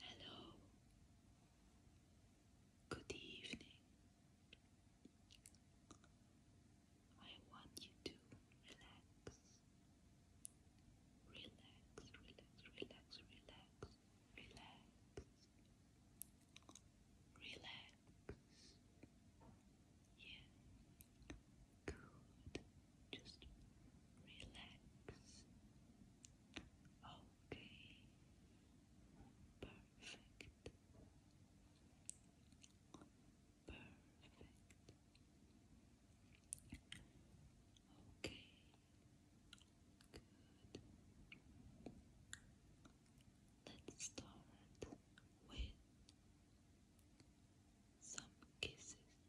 Hello. Good evening. I want you to relax. Relax, relax, relax, relax, relax. Relax. Yeah. Good just relax. Okay, perfect, perfect. Okay, good. Let's start with some kisses.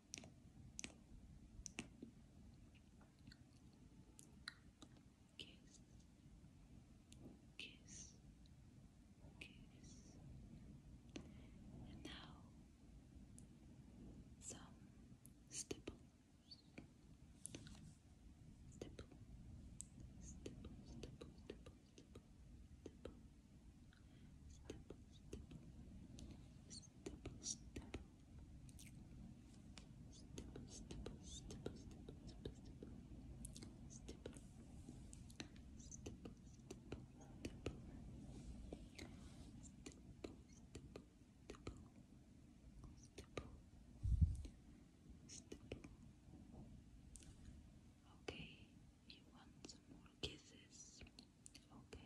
kiss, kiss. And now some stipple. Stipple, stipple, stipple, stipple, stipple, stipple, Okay, you want some more kisses? Okay,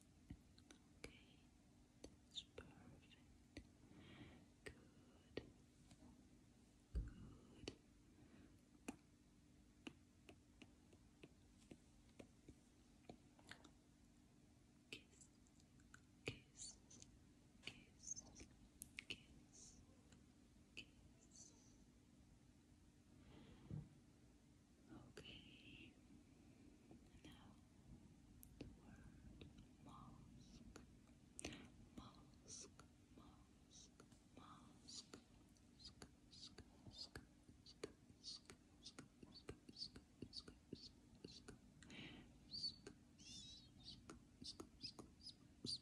Okay, that's perfect. Good. Good. Kiss, kiss, kiss, kiss, kiss. Okay. Now the word mask. Mask, mask, mask. Sk, sk, sk, sk, sk, sk, sk, sk, sk, sk. Sk,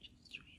Just relax. Kisses.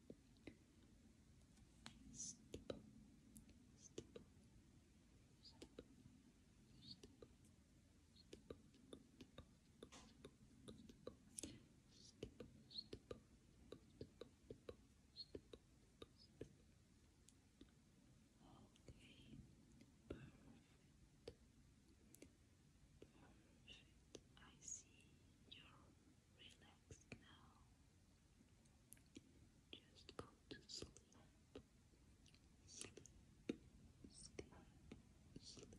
stipple, stipple, Okay, perfect. Perfect. I see your Relax now. Just go to sleep. Sleep, sleep, sleep.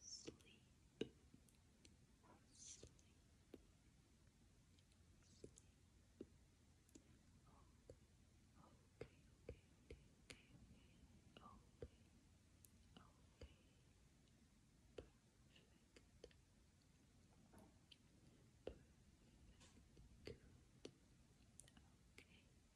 sleep, sleep. Sleep. Okay, okay, okay, okay, okay, okay, perfect, perfect, good, okay,